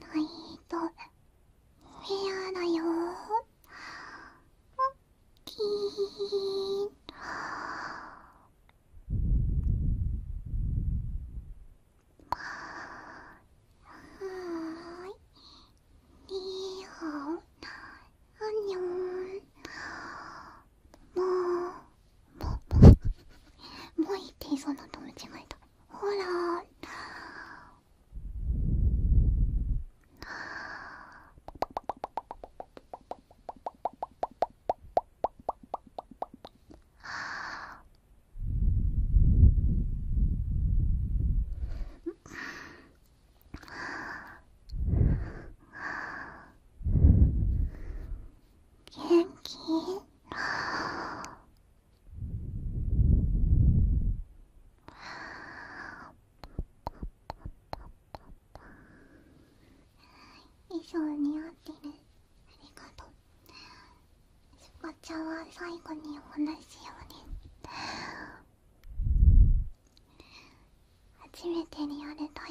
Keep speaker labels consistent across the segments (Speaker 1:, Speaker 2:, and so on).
Speaker 1: ないとフェアだよきーはいリーハオアンニョンもうもうもうもういいって言いそうになった間違えたほらーあ元気衣装似合ってるありがとうしばちゃは最後にお話しようね初めてリアルタイ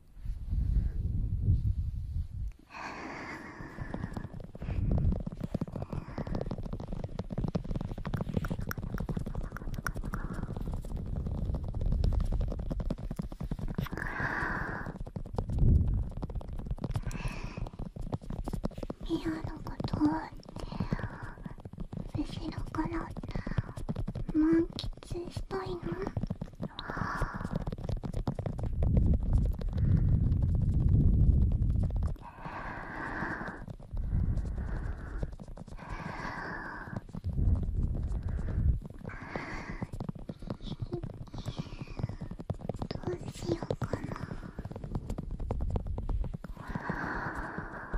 Speaker 1: はミアのことを後ろから満喫出演したいのどうしようかな。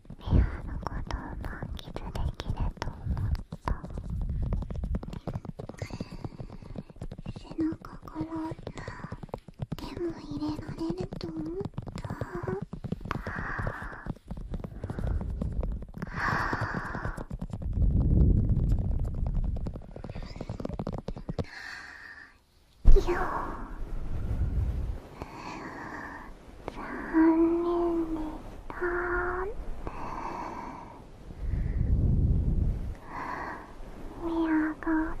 Speaker 1: ペアのことを満喫できると思った背中から手も入れられると思ったよ残念でしたミラが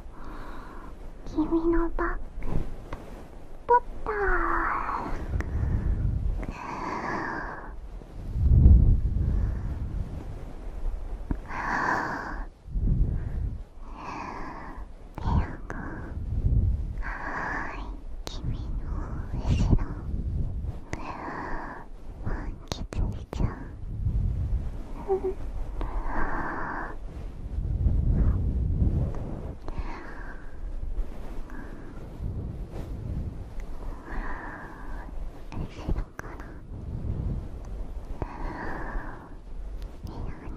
Speaker 1: 君のバッグ取ったはい君の後ろ気喫しちゃう、うん、後ろから部屋に。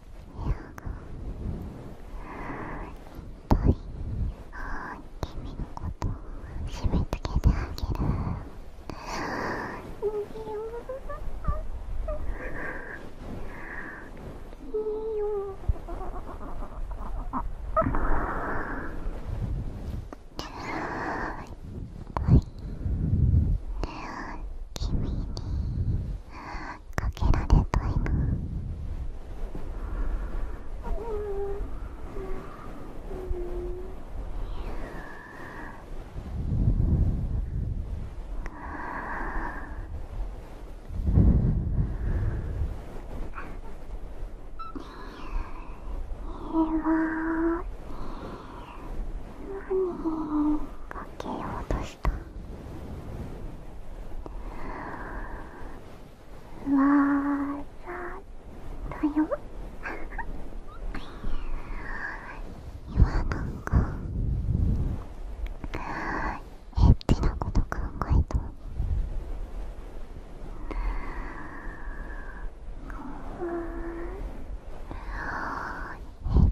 Speaker 1: ぱい君のことを締め付けてあげるいいよいいよはいに。かけられたいなようとししたわざだよ 今なんかエッチなこと考えたえっ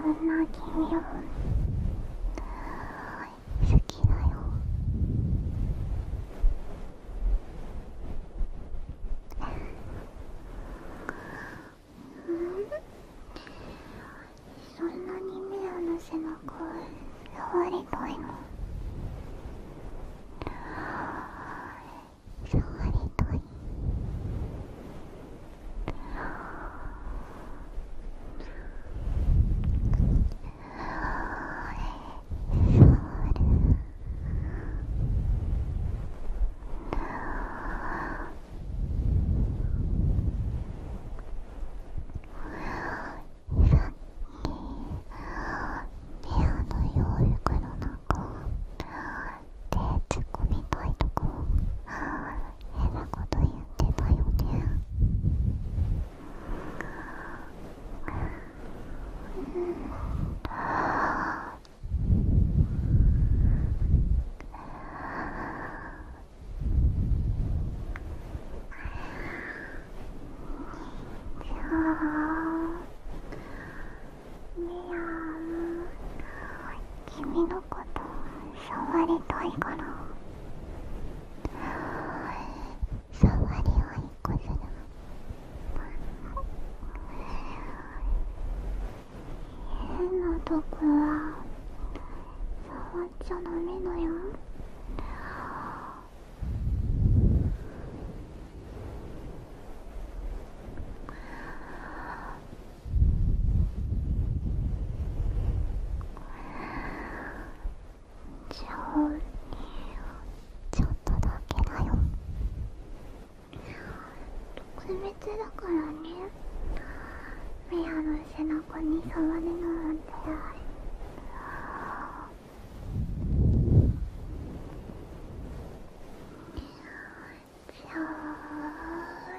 Speaker 1: そんな君を好きだよ。そんなにミラの背中触りたいの触りたい部屋の洋服の中手、突っ込みたいとか変なこと言ってたよね。うん君のこと触りたいから触りはいっこするの。変なとこは触っちゃダメだよ。じあちょっとだけだよ特別だからねメアの背中に触るのなんてじゃあ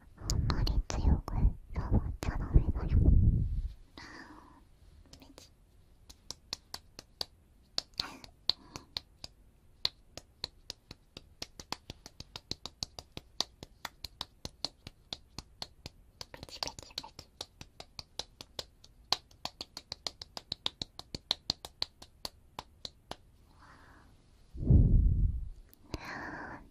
Speaker 1: あんまり強く触っちゃダメだよあーめちペチペチペチ